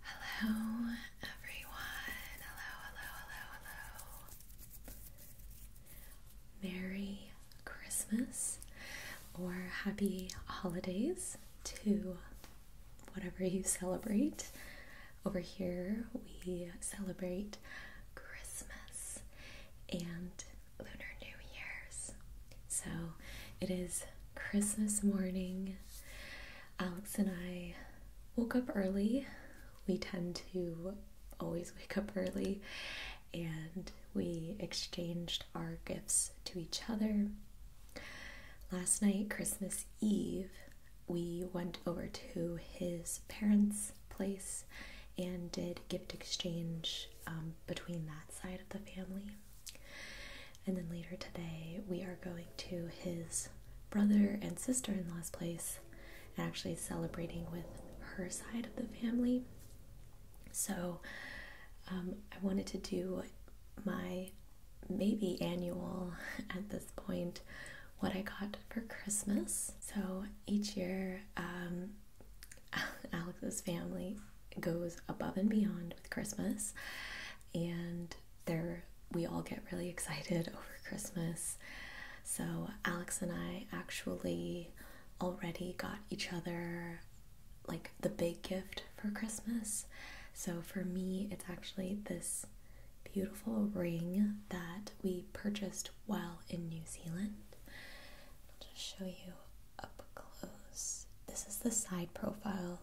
Hello, everyone. Hello, hello, hello, hello. Merry Christmas or happy holidays to whatever you celebrate. Over here, we celebrate Christmas and Lunar New Year's. So it is Christmas morning, Alex and I woke up early. We tend to always wake up early, and we exchanged our gifts to each other. Last night, Christmas Eve, we went over to his parents' place and did gift exchange um, between that side of the family. And then later today, we are going to his brother and sister in law's place and actually celebrating with her side of the family. So um, I wanted to do my maybe annual at this point what I got for Christmas. So each year, um, Alex's family goes above and beyond with Christmas, and there we all get really excited over Christmas. So Alex and I actually already got each other like the big gift for Christmas. So for me, it's actually this beautiful ring that we purchased while in New Zealand. I'll just show you up close. This is the side profile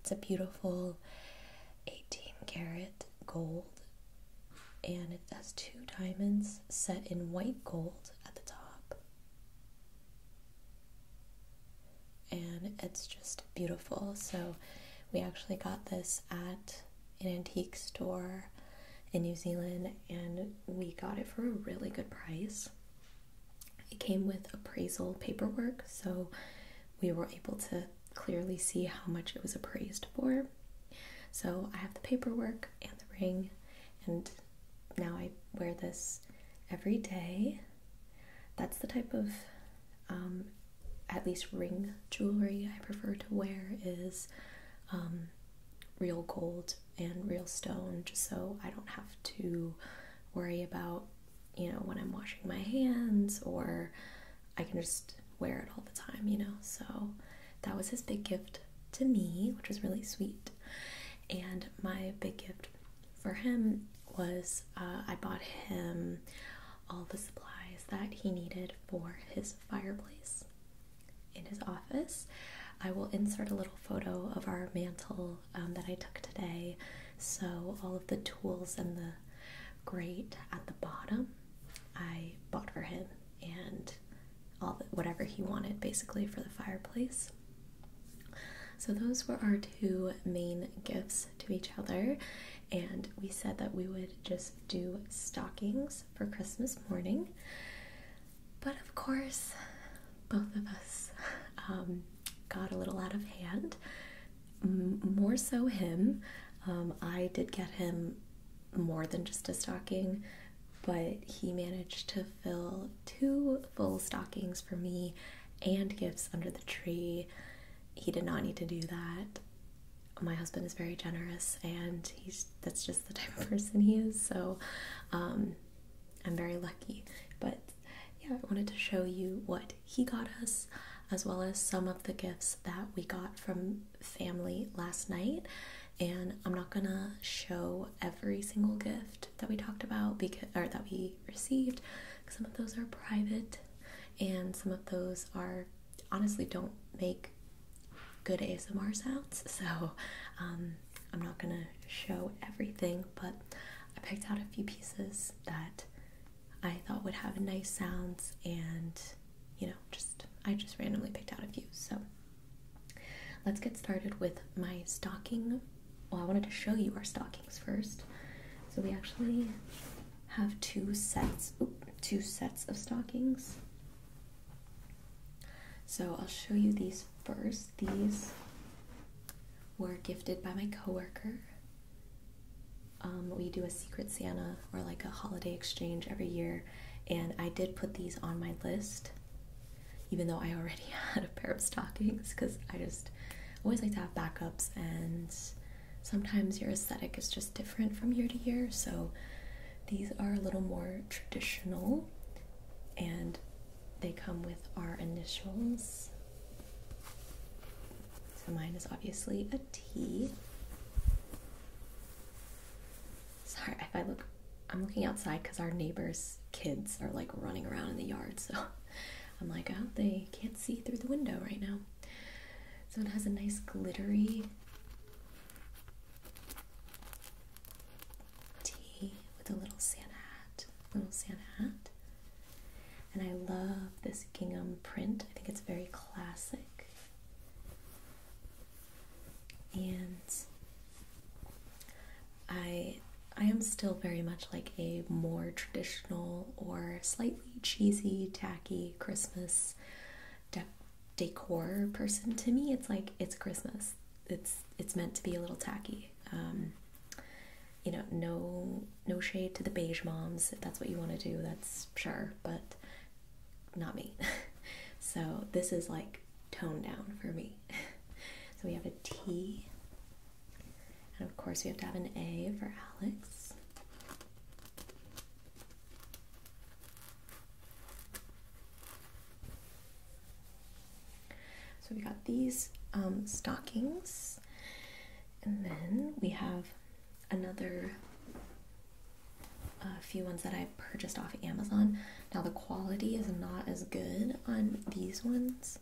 it's a beautiful 18 karat gold and it has two diamonds set in white gold at the top. And it's just beautiful. So we actually got this at an antique store in New Zealand and we got it for a really good price. It came with appraisal paperwork, so we were able to clearly see how much it was appraised for. So I have the paperwork and the ring, and now I wear this every day. That's the type of um, at least ring jewelry I prefer to wear is um, real gold and real stone, just so I don't have to worry about you know, when I'm washing my hands, or I can just wear it all the time, you know. So that was his big gift to me, which was really sweet. And my big gift for him was uh, I bought him all the supplies that he needed for his fireplace in his office. I will insert a little photo of our mantle um, that I took today. So, all of the tools and the great at the bottom, I bought for him and all the, whatever he wanted basically for the fireplace. So those were our two main gifts to each other, and we said that we would just do stockings for Christmas morning. But of course, both of us um, got a little out of hand more so him. Um, I did get him more than just a stocking, but he managed to fill two full stockings for me and gifts under the tree. He did not need to do that. My husband is very generous, and he's that's just the type of person he is. So, um, I'm very lucky. But yeah, I wanted to show you what he got us, as well as some of the gifts that we got from family last night. And I'm not gonna show every single gift that we talked about because or that we received. Some of those are private, and some of those are honestly don't make good ASMR sounds. So um, I'm not gonna show everything, but I picked out a few pieces that I thought would have nice sounds and you know just I just randomly picked out a few so let's get started with my stocking well I wanted to show you our stockings first so we actually have two sets two sets of stockings so I'll show you these first these were gifted by my coworker um, we do a Secret Santa or like a holiday exchange every year, and I did put these on my list, even though I already had a pair of stockings because I just always like to have backups, and sometimes your aesthetic is just different from year to year. So these are a little more traditional, and they come with our initials. So mine is obviously a T. Sorry if I look, I'm looking outside because our neighbors' kids are like running around in the yard. So I'm like, I oh, hope they can't see through the window right now. So it has a nice glittery T with a little Santa hat. Little Santa hat. And I love this gingham print. I think it's very classic. And I I am still very much like a more traditional or slightly cheesy, tacky Christmas decor person. To me, it's like it's Christmas. It's it's meant to be a little tacky. Um, you know, no no shade to the beige moms. If that's what you want to do, that's sure, but not me. so this is like toned down for me. so we have a T. And of course we have to have an A for Alex. So we got these um, stockings, and then we have another uh, few ones that I purchased off Amazon. Now the quality is not as good on these ones,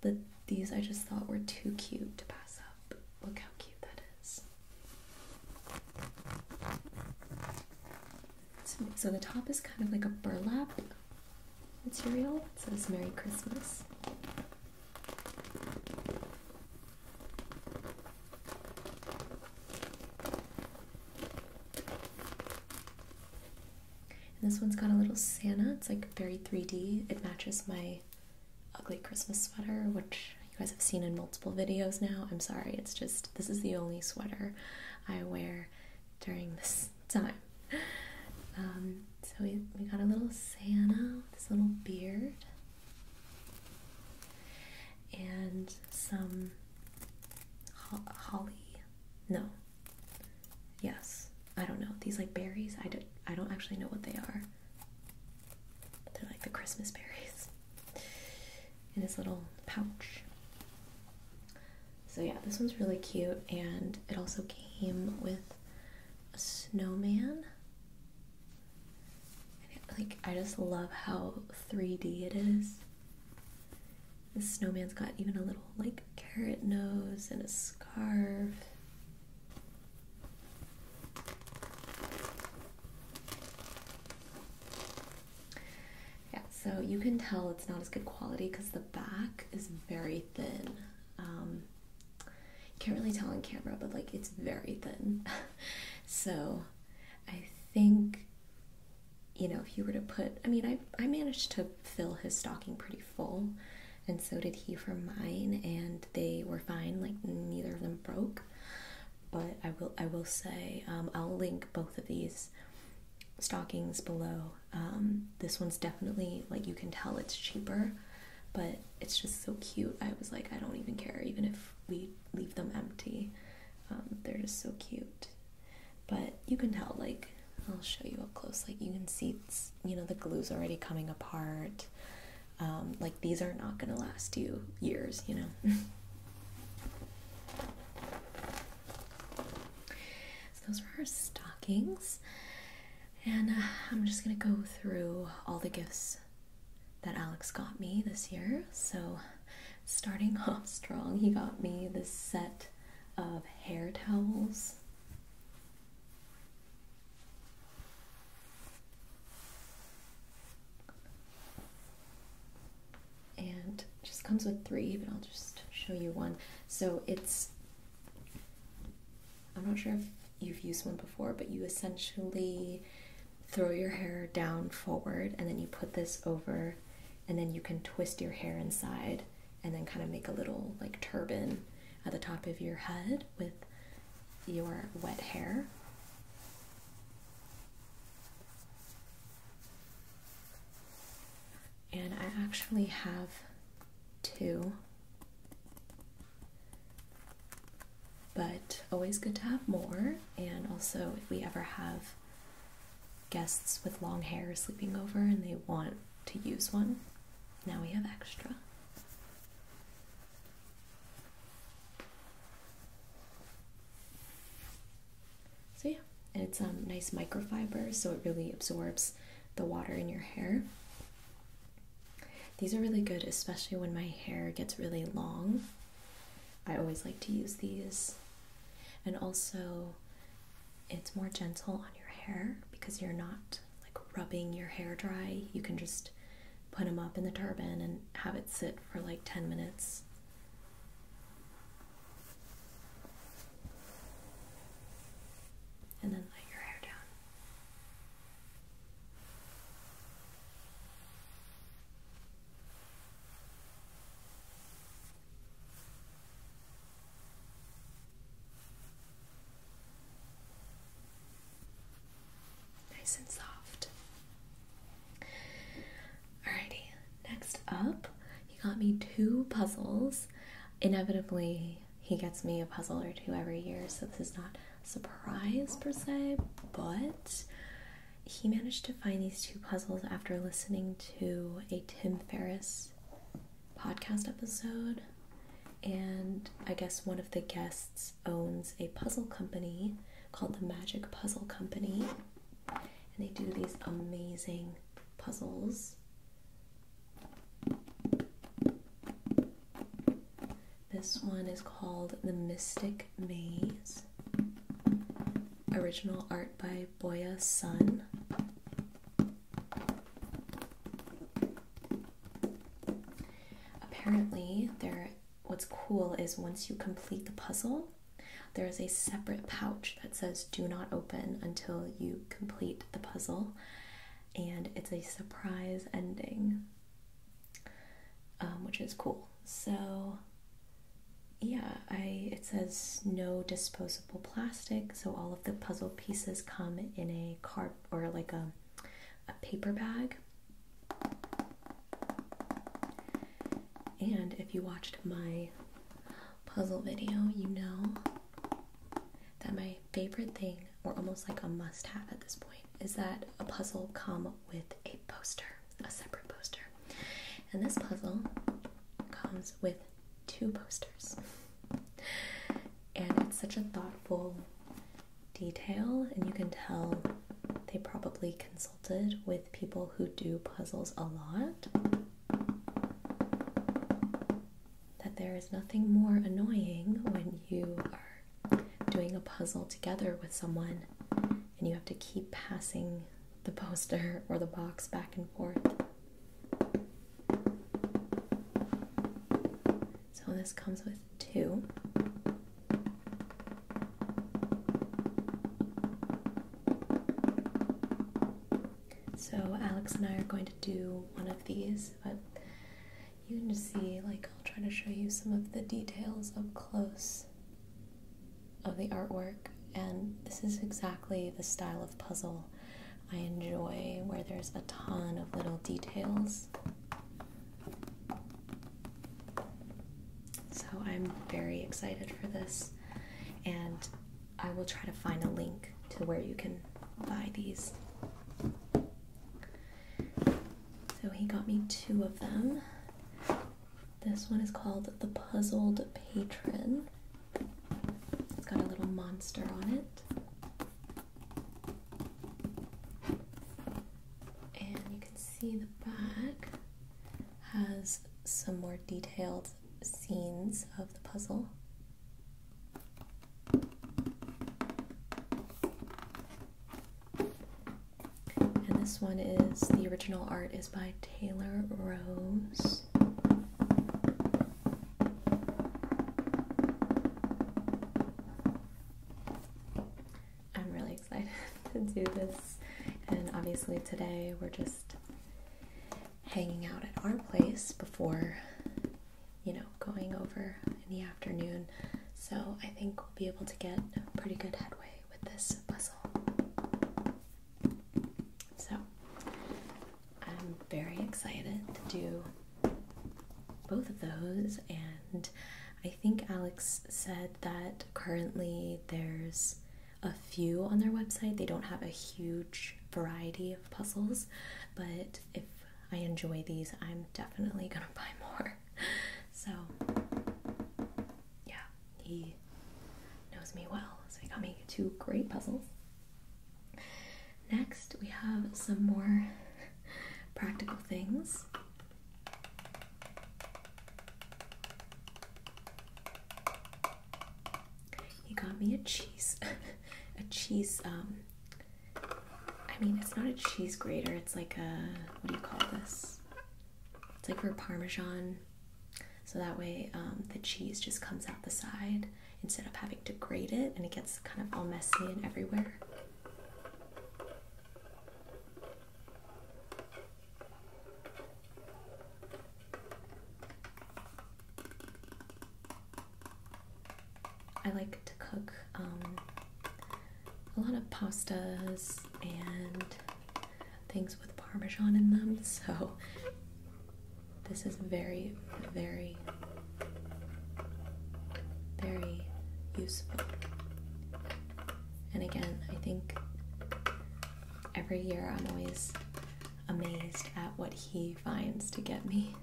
but these I just thought were too cute to pass up. Look how cute that is. so the top is kind of like a burlap material. It says Merry Christmas. And this one's got a little Santa. It's like very 3D. It matches my ugly Christmas sweater, which you guys have seen in multiple videos now. I'm sorry, it's just this is the only sweater I wear during this time. Um, so we, we got a little Santa, this little beard, and some holly. No. Yes. I don't know. These like berries. I don't, I don't actually know what they are. they're like the Christmas berries in his little pouch. So yeah, this one's really cute and it also came with a snowman like I just love how 3D it is. This snowman's got even a little like carrot nose and a scarf. Yeah, so you can tell it's not as good quality because the back is very thin. Um, you can't really tell on camera, but like it's very thin. so I think you know, if you were to put I mean I I managed to fill his stocking pretty full and so did he for mine and they were fine, like neither of them broke. But I will I will say, um, I'll link both of these stockings below. Um, this one's definitely like you can tell it's cheaper but it's just so cute. I was like, I don't even care, even if we leave them empty. Um, they're just so cute. But you can tell, like, I'll show you up close. Like, you can see, you know, the glue's already coming apart. Um, like, these are not going to last you years, you know. so, those were our stockings. And uh, I'm just gonna go through all the gifts that Alex got me this year. So, starting off strong, he got me this set of hair towels. And just comes with three, but I'll just show you one. So it's I'm not sure if you've used one before, but you essentially throw your hair down forward and then you put this over, and then you can twist your hair inside and then kind of make a little like turban at the top of your head with your wet hair. And I actually have two but always good to have more, and also if we ever have guests with long hair sleeping over and they want to use one, now we have extra. So yeah, it's a um, nice microfiber so it really absorbs the water in your hair. These are really good, especially when my hair gets really long. I always like to use these. And also, it's more gentle on your hair because you're not like rubbing your hair dry. You can just put them up in the turban and have it sit for like 10 minutes. And then let your hair down. Nice and soft. Alrighty, next up, he got me two puzzles. Inevitably, he gets me a puzzle or two every year, so this is not surprise per se, but he managed to find these two puzzles after listening to a Tim Ferriss podcast episode. And I guess one of the guests owns a puzzle company called the Magic Puzzle Company. And they do these amazing puzzles. This one is called The Mystic Maze. Original art by Boya Sun. Apparently, there what's cool is once you complete the puzzle, there is a separate pouch that says do not open until you complete the puzzle and it's a surprise ending. Um, which is cool. So yeah, I it says no disposable plastic, so all of the puzzle pieces come in a card or like a a paper bag. And if you watched my puzzle video, you know that my favorite thing or almost like a must have at this point, is that a puzzle comes with a poster, a separate poster. And this puzzle comes with two posters. And it's such a thoughtful detail, and you can tell they probably consulted with people who do puzzles a lot. That there is nothing more annoying when you are doing a puzzle together with someone and you have to keep passing the poster or the box back and forth. So this comes with two. So Alex and I are going to do one of these, but you can see, like, I'll try to show you some of the details up close of the artwork. And this is exactly the style of puzzle I enjoy, where there's a ton of little details. So I'm very excited for this, and I will try to find a link to where you can buy these. So he got me two of them. This one is called The Puzzled Patron. It's got a little monster on it. And you can see the back has some more detailed scenes of the puzzle. And this one is the original art is by Taylor Rose. I'm really excited to do this, and obviously, today we're just hanging out at our place before you know going over in the afternoon. So I think we'll be able to get pretty good headway with this puzzle. So I'm very excited to do both of those and I think Alex said that currently there's a few on their website. They don't have a huge variety of puzzles, but if I enjoy these, I'm definitely gonna buy more. so yeah, he knows me well, so he got me two great puzzles. Next, we have some more practical things. He got me a cheese, a cheese um, I mean, it's not a cheese grater, it's like a what do you call this? It's like for parmesan, so that way um, the cheese just comes out the side instead of having to grate it and it gets kind of all messy and everywhere. I like to cook um, a lot of pastas and things with parmesan in them, so this is very, very, very useful. And again, I think every year I'm always amazed at what he finds to get me.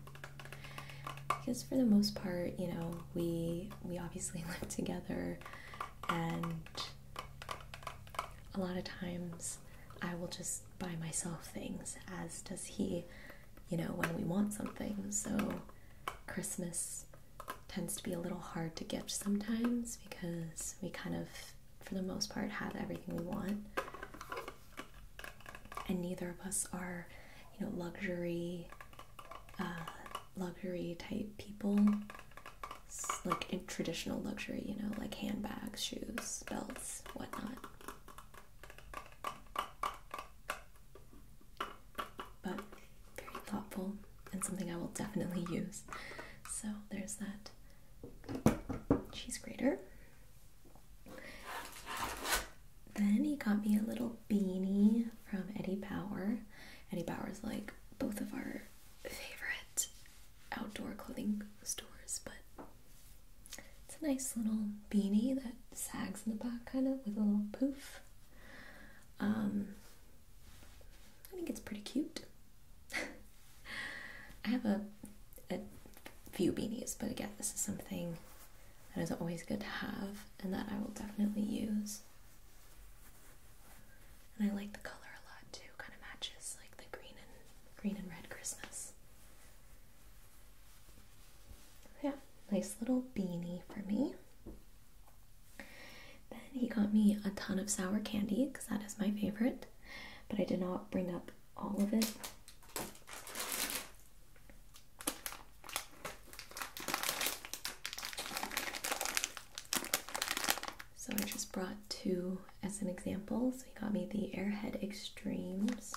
Because for the most part, you know, we we obviously live together, and a lot of times I will just buy myself things, as does he, you know, when we want something. So Christmas tends to be a little hard to gift sometimes because we kind of, for the most part, have everything we want. And neither of us are you know luxury uh, luxury type people like traditional luxury you know like handbags shoes belts whatnot but very thoughtful and something I will definitely use. So there's that cheese grater. Then he got me a little beanie from Eddie Power. Eddie Bauer is like both of our favorite outdoor clothing stores, but it's a nice little beanie that sags in the back, kind of with a little poof. Um, I think it's pretty cute. I have a few beanies, but again, this is something that is always good to have and that I will definitely use. And I like the color a lot too. Kind of matches like the green and green and red Christmas. Yeah, nice little beanie for me. Then he got me a ton of sour candy because that is my favorite, but I did not bring up all of it. So I just brought two as an example. So he got me the Airhead Extremes.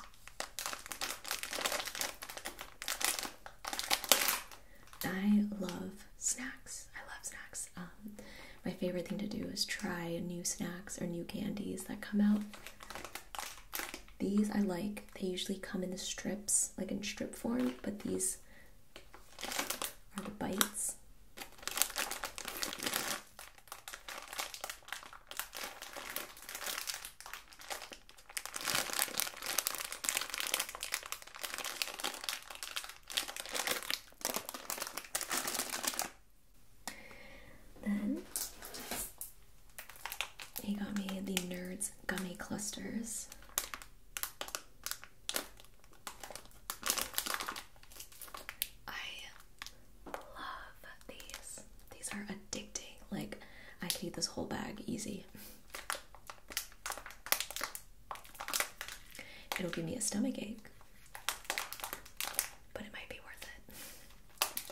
I love snacks. I love snacks. Um, my favorite thing to do is try new snacks or new candies that come out. These I like. They usually come in the strips, like in strip form, but these are the bites. Then he got me the Nerds Gummy Clusters. I love these. These are addicting. Like, I could eat this whole bag easy. It'll give me a stomach ache, but it might be worth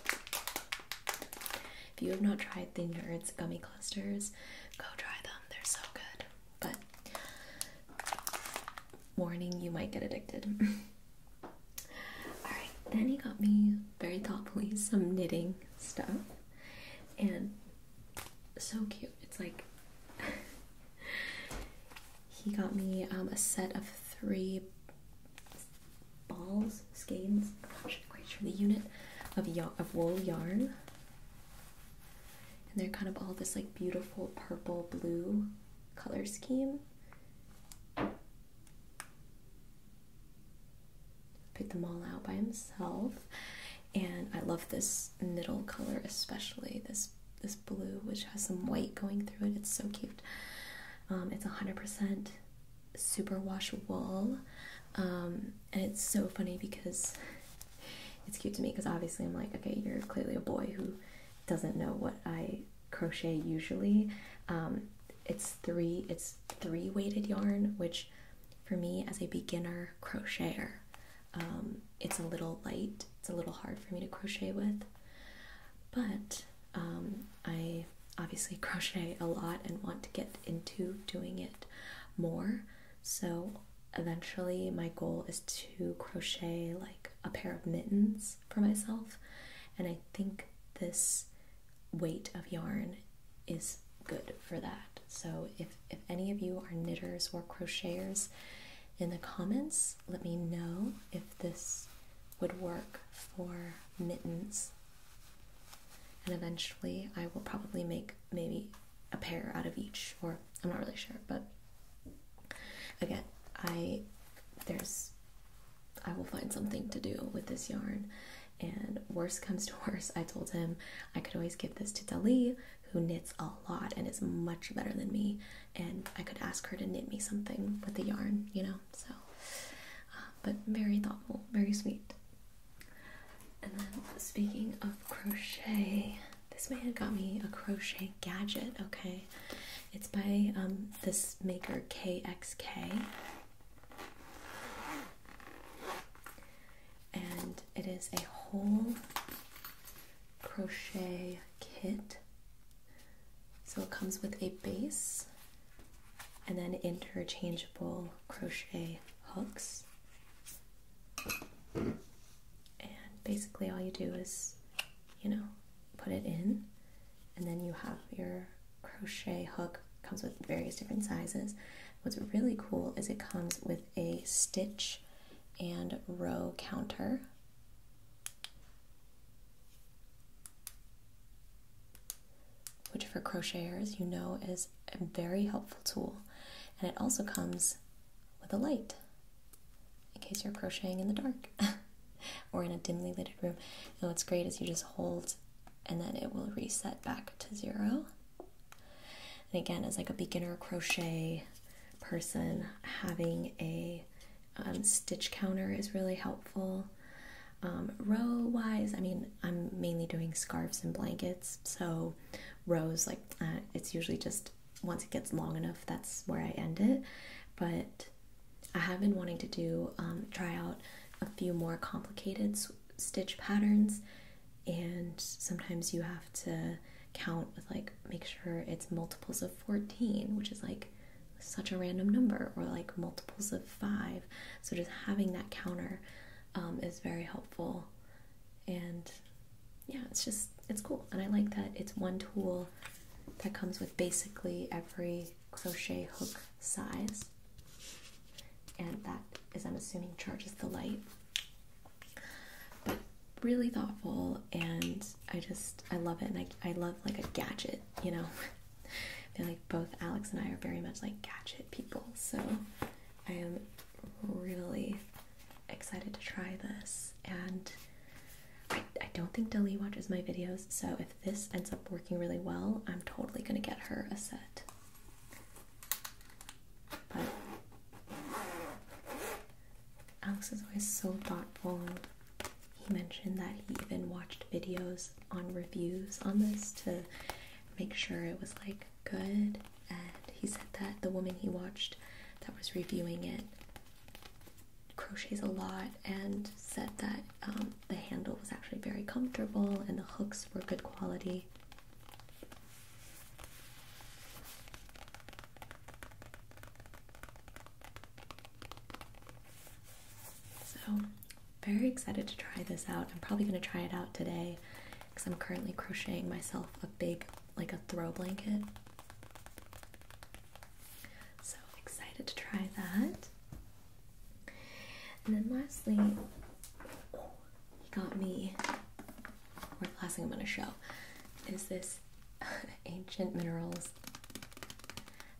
it. If you have not tried Thin Nerds gummy clusters, go try them. They're so good. But warning, you might get addicted. Alright, then he got me very thoughtfully some knitting stuff. And so cute. It's like he got me um, a set of three balls, skeins, I'm not quite sure the unit of, of wool yarn and they're kind of all this like beautiful purple blue color scheme. Pick them all out by himself, and I love this middle color especially this this blue which has some white going through it. It's so cute. Um, it's 100% superwash wool. Um, and it's so funny because it's cute to me because obviously I'm like, okay, you're clearly a boy who doesn't know what I crochet usually. Um, it's three, it's three weighted yarn, which for me as a beginner crocheter, um, it's a little light. It's a little hard for me to crochet with, but um, I obviously crochet a lot and want to get into doing it more. So eventually, my goal is to crochet like a pair of mittens for myself, and I think this weight of yarn is good for that. So if if any of you are knitters or crocheters in the comments, let me know if this would work for mittens. And eventually I will probably make maybe a pair out of each, or I'm not really sure, but again, I there's I will find something to do with this yarn. And worse comes to worse, I told him I could always give this to Dali, who knits a lot and is much better than me, and I could ask her to knit me something with the yarn, you know. So, uh, but very thoughtful, very sweet. And then, speaking of crochet, this man got me a crochet gadget, okay? It's by um, this maker KXK. And it is a whole crochet kit. So it comes with a base and then interchangeable crochet hooks and basically, all you do is, you know, put it in, and then you have your crochet hook. Comes with various different sizes. What's really cool is it comes with a stitch and row counter. Which for crocheters you know is a very helpful tool, and it also comes with a light in case you're crocheting in the dark or in a dimly lighted room. so what's great is you just hold and then it will reset back to zero. And again, as like a beginner crochet person, having a um, stitch counter is really helpful. Um, row wise, I mean, I'm mainly doing scarves and blankets, so rows like it's usually just once it gets long enough that's where i end it but i have been wanting to do um, try out a few more complicated stitch patterns and sometimes you have to count with like make sure it's multiples of 14 which is like such a random number or like multiples of five so just having that counter um, is very helpful and yeah it's just it's cool and i like that it's one tool that comes with basically every crochet hook size and that is i'm assuming charges the light but really thoughtful and i just i love it and i, I love like a gadget you know i feel like both alex and i are very much like gadget people so i am really excited to try this. And I, don't think Dali watches my videos, so if this ends up working really well, I'm totally gonna get her a set. But Alex is always so thoughtful. He mentioned that he even watched videos on reviews on this to make sure it was like good and he said that the woman he watched that was reviewing it crochets a lot and said that um, the handle was actually very comfortable and the hooks were good quality. So, very excited to try this out. I'm probably going to try it out today because I'm currently crocheting myself a big, like a throw blanket. So excited to try that. And then lastly, oh, he got me, what last thing I'm going to show is this Ancient Minerals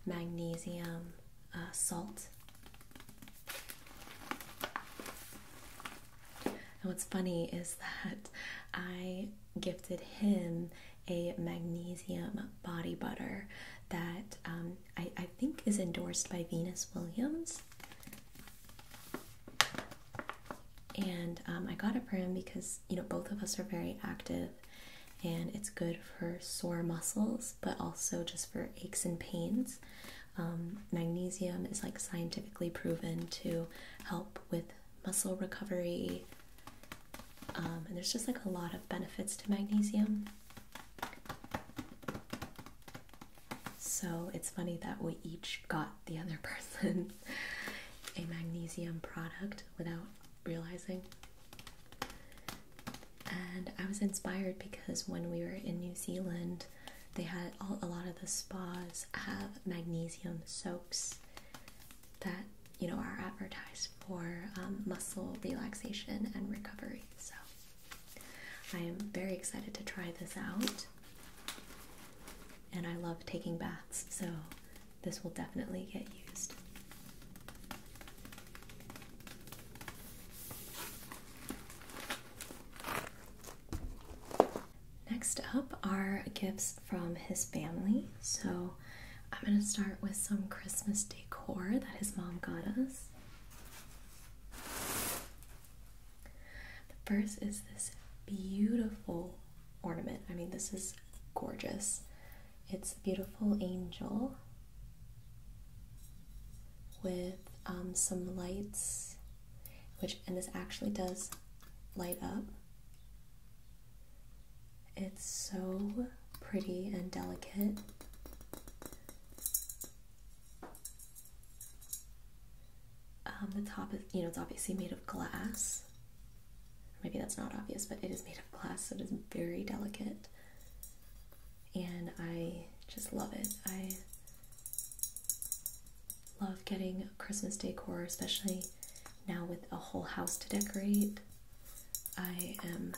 Magnesium uh, Salt. And what's funny is that I gifted him a magnesium body butter that um, I, think is endorsed by Venus Williams. And um, I got it for him because, you know, both of us are very active and it's good for sore muscles, but also just for aches and pains. Um, magnesium is like scientifically proven to help with muscle recovery, um, and there's just like a lot of benefits to magnesium. So it's funny that we each got the other person a magnesium product without realizing. And I was inspired because when we were in New Zealand, they had a lot of the spas have magnesium soaps that you know are advertised for um, muscle relaxation and recovery. So I am very excited to try this out, and I love taking baths, so this will definitely get used. Next up are gifts from his family. So I'm going to start with some Christmas decor that his mom got us. The first is this beautiful ornament. I mean, this is gorgeous. It's a beautiful angel with um, some lights, which, and this actually does light up. It's so pretty and delicate. Um, the top is, you know, it's obviously made of glass. Maybe that's not obvious, but it is made of glass, so it is very delicate. And I just love it. I love getting Christmas decor, especially now with a whole house to decorate. I am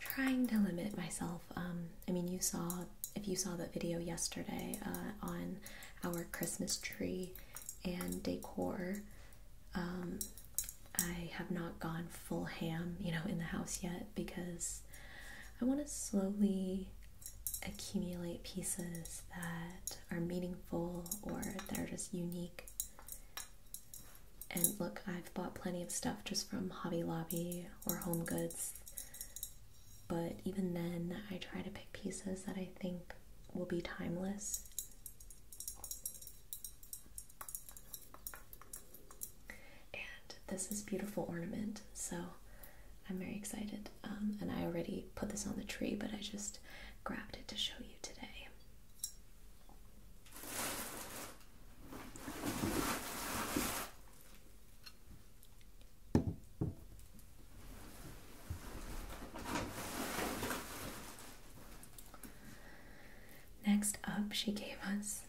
trying to limit myself. Um, I mean, you saw, if you saw that video yesterday uh, on our Christmas tree and decor, um, I have not gone full ham, you know, in the house yet because I want to slowly accumulate pieces that are meaningful or that are just unique. And look, I've bought plenty of stuff just from Hobby Lobby or Home Goods, but even then, I try to pick pieces that I think will be timeless. And this is beautiful ornament, so I'm very excited. Um, and I already put this on the tree, but I just grabbed it to show you today. Next up, she gave us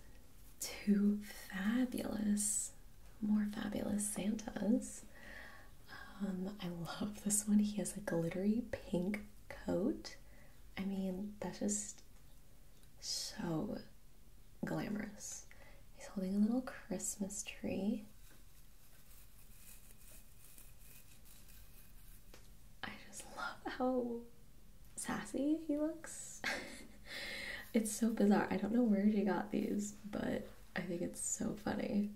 two fabulous, more fabulous Santas. Um, I love this one. He has a glittery pink coat. I mean, that's just so glamorous. He's holding a little Christmas tree. I just love how sassy he looks. it's so bizarre. I don't know where she got these, but I think it's so funny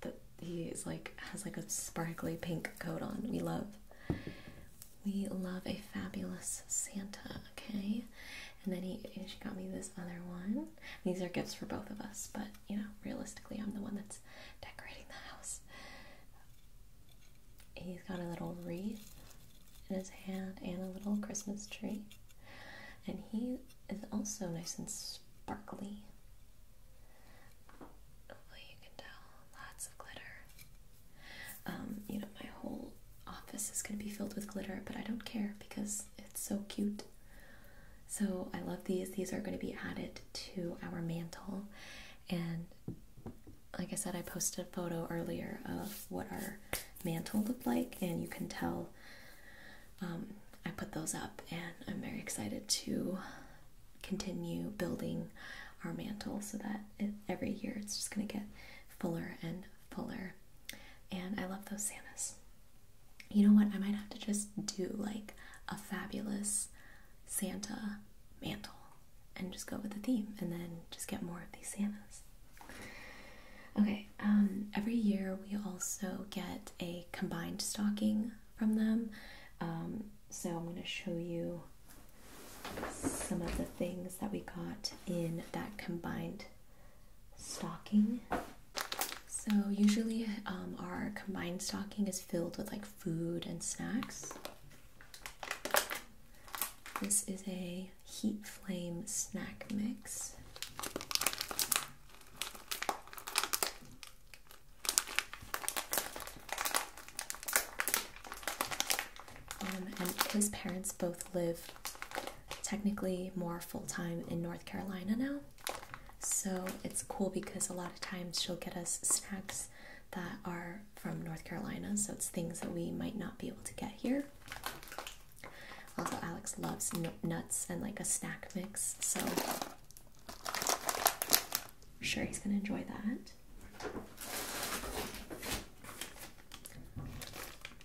that he is like has like a sparkly pink coat on. We love we love a fabulous Santa, okay? And then he she got me this other one. These are gifts for both of us, but you know, realistically I'm the one that's decorating the house. He's got a little wreath in his hand and a little Christmas tree. And he is also nice and sparkly. you can tell lots of glitter. Um, you know, my whole office is going to be filled with glitter, but I don't care because it's so cute. So, I love these. These are going to be added to our mantle. And like I said, I posted a photo earlier of what our mantle looked like, and you can tell um, I put those up, and I'm very excited to continue building our mantle so that every year it's just going to get fuller and fuller. And I love those Santas. You know what? I might have to just do like a fabulous Santa mantle and just go with the theme and then just get more of these Santas. Okay, um, every year we also get a combined stocking from them. Um, so I'm going to show you some of the things that we got in that combined stocking. So usually um, our combined stocking is filled with like food and snacks. This is a heat flame snack mix. Um, and his parents both live technically more full time in North Carolina now. So it's cool because a lot of times she'll get us snacks that are from North Carolina, so it's things that we might not be able to get here. Also, Alex loves nuts and like a snack mix, so I'm sure he's gonna enjoy that.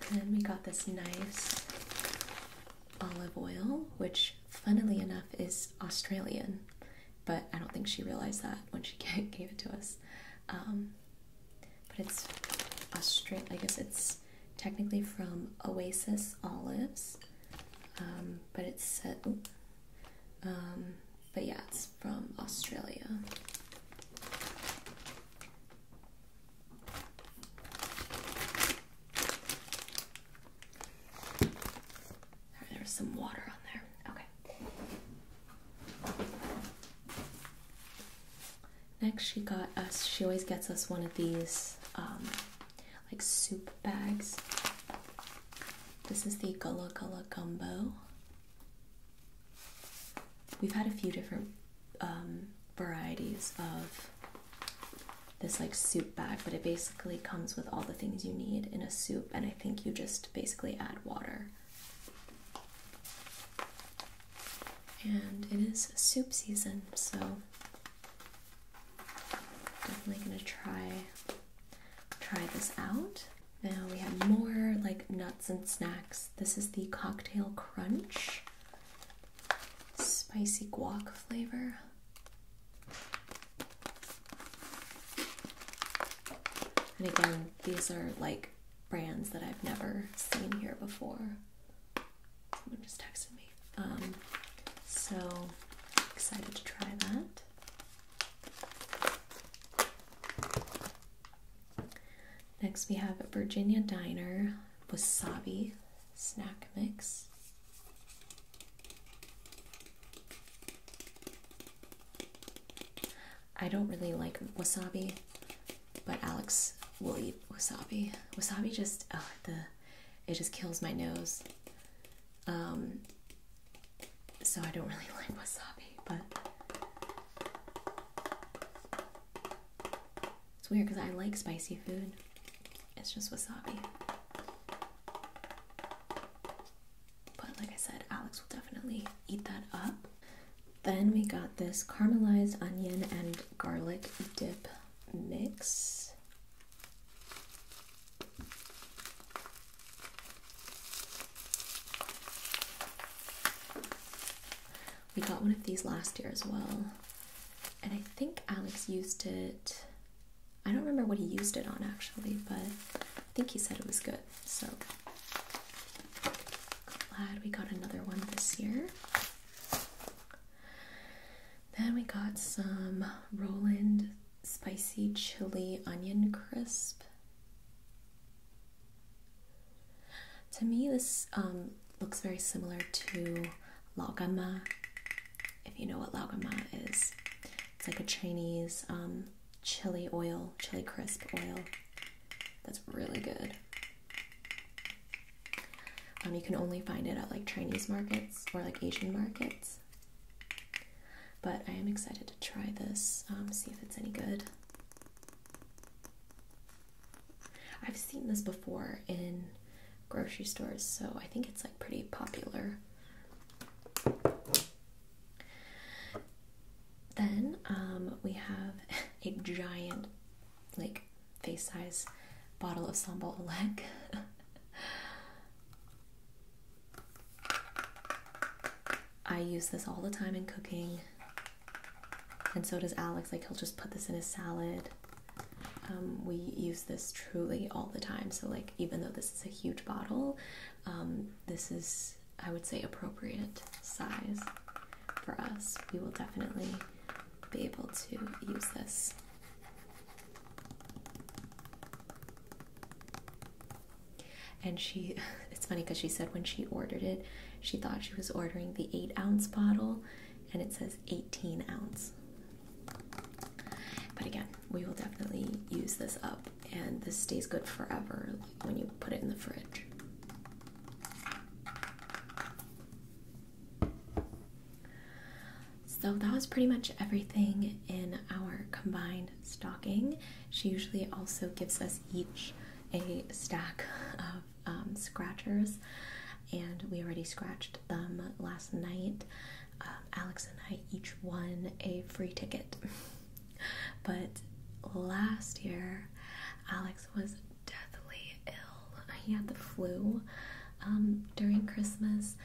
And then we got this nice olive oil, which, funnily enough, is Australian, but I don't think she realized that when she gave it to us. Um, but it's Australian, I guess it's technically from Oasis Olives, um, but it's um, but yeah, it's from Australia. There's some water on there. Okay. Next, she got us, she always gets us one of these um, like soup bags. This is the Gula Gula Gumbo. We've had a few different um, varieties of this like soup bag, but it basically comes with all the things you need in a soup, and I think you just basically add water. And it is soup season, so Definitely gonna try try this out. Now we have more like nuts and snacks. This is the cocktail crunch. Spicy guac flavor. And again, these are like brands that I've never seen here before. Someone just texted me. Um, so excited to try that. Next, we have Virginia Diner Wasabi Snack Mix. I don't really like wasabi, but Alex will eat wasabi. Wasabi just, the it just kills my nose. Um, so I don't really like wasabi, but it's weird because I like spicy food. It's just wasabi. But like I said, Alex will definitely eat that up. Then we got this caramelized onion and garlic dip mix. We got one of these last year as well, and I think Alex used it. I don't remember what he used it on actually, but I think he said it was good. So glad we got another one this year. Then we got some Roland spicy chili onion crisp. To me, this um, looks very similar to laogama. If you know what laogama is, it's like a Chinese um, chili oil, chili crisp oil. That's really good. Um, you can only find it at like Chinese markets or like Asian markets. But I am excited to try this, um, see if it's any good. I've seen this before in grocery stores, so I think it's like pretty popular. Then um, we have a giant, like face size bottle of sambal oleg. I use this all the time in cooking, and so does Alex. Like, he'll just put this in his salad. Um, we use this truly all the time. So, like, even though this is a huge bottle, um, this is, I would say, appropriate size for us. We will definitely be able to use this. And she, it's funny because she said when she ordered it, she thought she was ordering the eight ounce bottle and it says 18 ounce. But again, we will definitely use this up and this stays good forever when you put it in the fridge. So that was pretty much everything in our combined stocking. She usually also gives us each a stack of um, scratchers, and we already scratched them last night. Um, Alex and I each won a free ticket. but last year, Alex was deathly ill. He had the flu, um, during Christmas,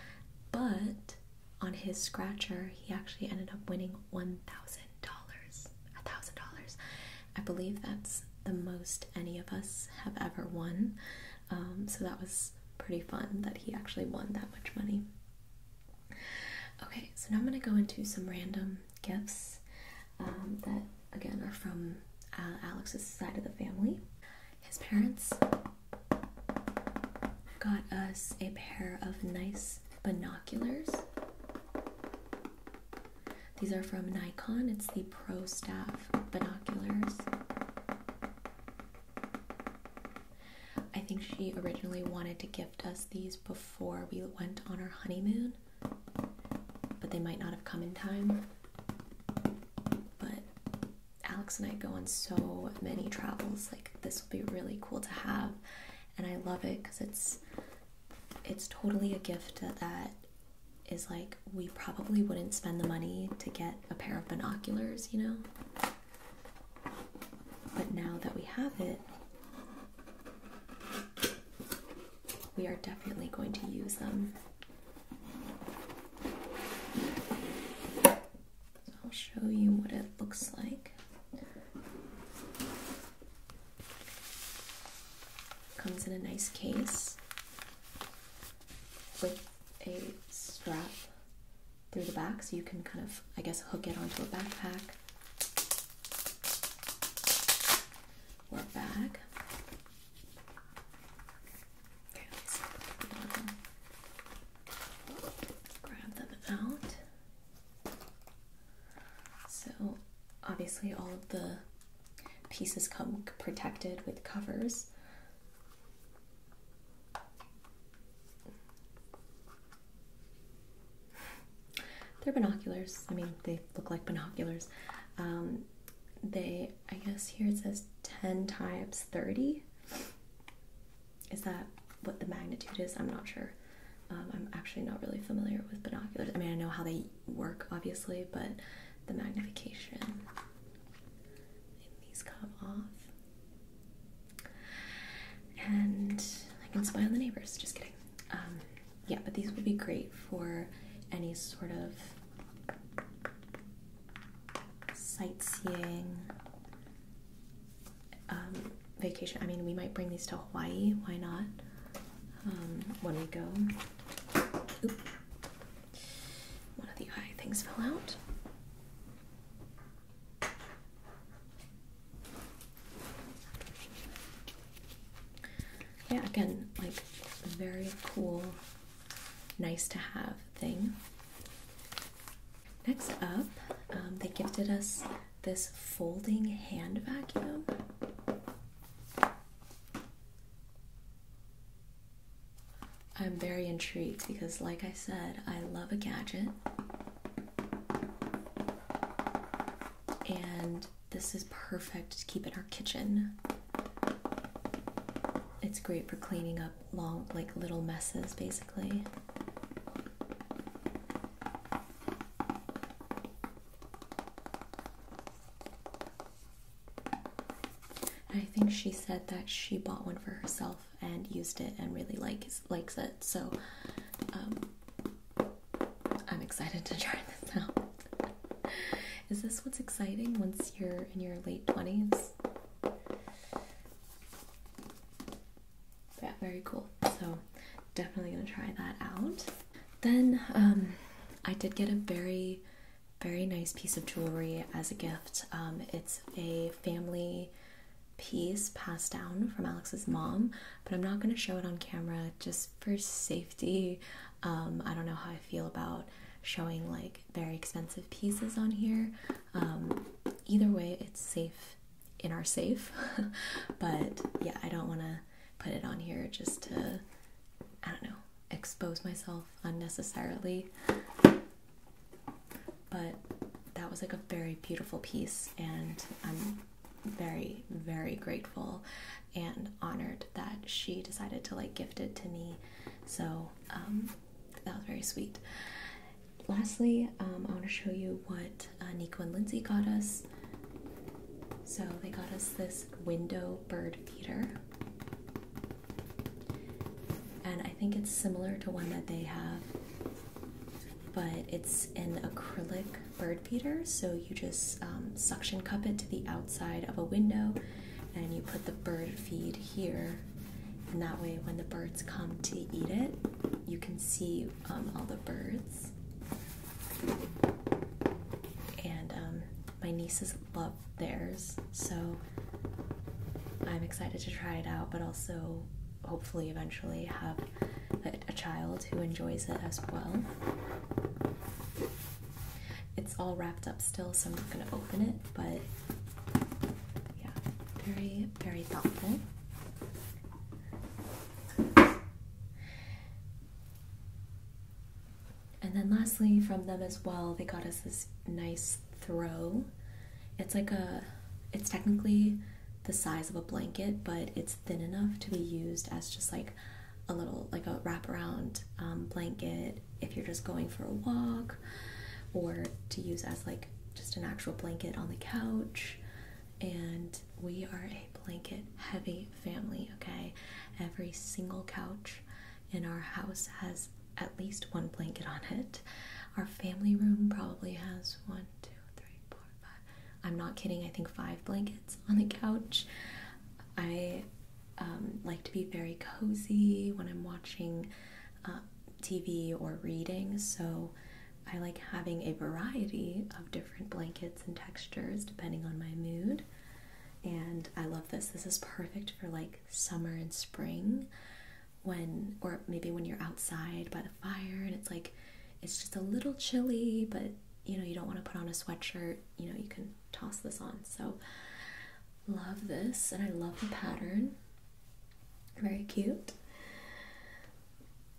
but on his scratcher, he actually ended up winning one thousand dollars. A thousand dollars. I believe that's the most any of us have ever won. Um, so that was pretty fun that he actually won that much money. Okay, so now I'm going to go into some random gifts um, that again are from uh, Alex's side of the family. His parents got us a pair of nice binoculars. These are from Nikon, it's the Pro Staff binoculars. I think she originally wanted to gift us these before we went on our honeymoon, but they might not have come in time. But Alex and I go on so many travels. Like this will be really cool to have, and I love it because it's it's totally a gift that is like we probably wouldn't spend the money to get a pair of binoculars, you know. But now that we have it, we are definitely going to use them. I'll show you what it looks like. Comes in a nice case with a strap through the back so you can kind of, I guess, hook it onto a backpack or a bag. Okay, let's grab them out. So obviously all of the pieces come protected with covers. They're binoculars. I mean, they look like binoculars. Um, they I guess here it says 10 times 30. Is that what the magnitude is? I'm not sure. Um, I'm actually not really familiar with binoculars. I mean, I know how they work, obviously, but the magnification. And these come off. And I can spy on the neighbors. Just kidding. Um, yeah, but these would be great for any sort of sightseeing um, vacation. I mean, we might bring these to Hawaii. Why not? Um, when we go. One of the eye things fell out. Yeah, again, like very cool, nice to have thing. Next up, um, they gifted us this folding hand vacuum. I'm very intrigued because, like I said, I love a gadget. And this is perfect to keep in our kitchen it's great for cleaning up long, like little messes basically. I think she said that she bought one for herself and used it and really likes likes it. So um, I'm excited to try this out. Is this what's exciting once you're in your late 20s? yeah, very cool. So definitely gonna try that out. Then um, I did get a very, very nice piece of jewelry as a gift. Um, it's a family piece passed down from Alex's mom, but I'm not gonna show it on camera just for safety. Um, I don't know how I feel about showing like very expensive pieces on here. Um, either way, it's safe in our safe, but yeah, I don't want to put it on here just to, I don't know, expose myself unnecessarily. But that was like a very beautiful piece, and I'm very, very grateful and honored that she decided to like gift it to me. So, um, that was very sweet. Lastly, um, I want to show you what uh, Nico and Lindsay got us. So they got us this window bird feeder. And I think it's similar to one that they have, but it's an acrylic bird feeder. So you just um, suction cup it to the outside of a window and you put the bird feed here. And that way, when the birds come to eat it, you can see um, all the birds. And um, my nieces love theirs, so I'm excited to try it out, but also hopefully eventually have a child who enjoys it as well. It's all wrapped up still, so I'm not going to open it, but yeah, very, very thoughtful. And then lastly, from them as well, they got us this nice throw. It's like a, it's technically the size of a blanket, but it's thin enough to be used as just like a little, like a wraparound um, blanket if you're just going for a walk or to use as like just an actual blanket on the couch. And we are a blanket heavy family, okay? Every single couch in our house has at least one blanket on it. Our family room probably has one, two, three, four, five. I'm not kidding, I think five blankets on the couch. I um, like to be very cozy when I'm watching uh, TV or reading, so I like having a variety of different blankets and textures depending on my mood. And I love this. This is perfect for like summer and spring when, or maybe when you're outside by the fire and it's like, it's just a little chilly, but you know, you don't want to put on a sweatshirt, you know, you can toss this on. So Love this, and I love the pattern. Very cute.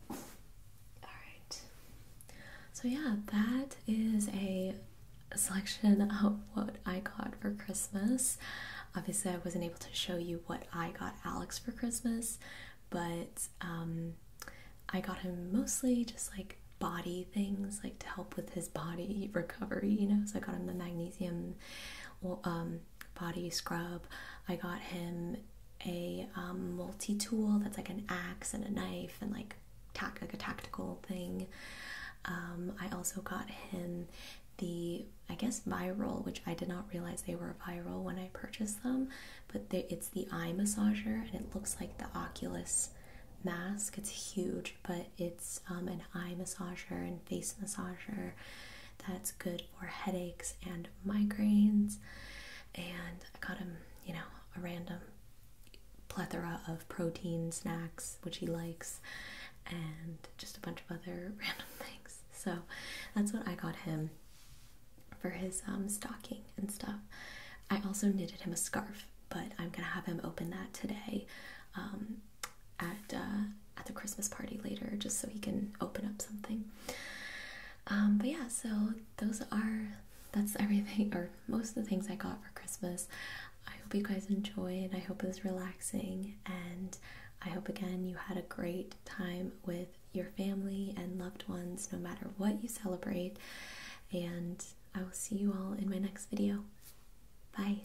All right. So, yeah, that is a selection of what I got for Christmas. Obviously, I wasn't able to show you what I got Alex for Christmas, but um, I got him mostly just like body things, like to help with his body recovery, you know. So, I got him the magnesium um, body scrub. I got him a um, multi tool that's like an axe and a knife and like tac like a tactical thing. Um, I also got him the I guess viral, which I did not realize they were viral when I purchased them, but it's the eye massager and it looks like the Oculus mask. It's huge but it's um, an eye massager and face massager that's good for headaches and migraines. And I got him, you know, a random plethora of protein snacks, which he likes, and just a bunch of other random things. So that's what I got him for his um, stocking and stuff. I also knitted him a scarf, but I'm gonna have him open that today. Um, at uh, at the Christmas party later, just so he can open up something. Um, but yeah, so those are that's everything, or most of the things I got for Christmas. I hope you guys enjoyed. I hope it was relaxing, and I hope again you had a great time with your family and loved ones, no matter what you celebrate. And I will see you all in my next video. Bye.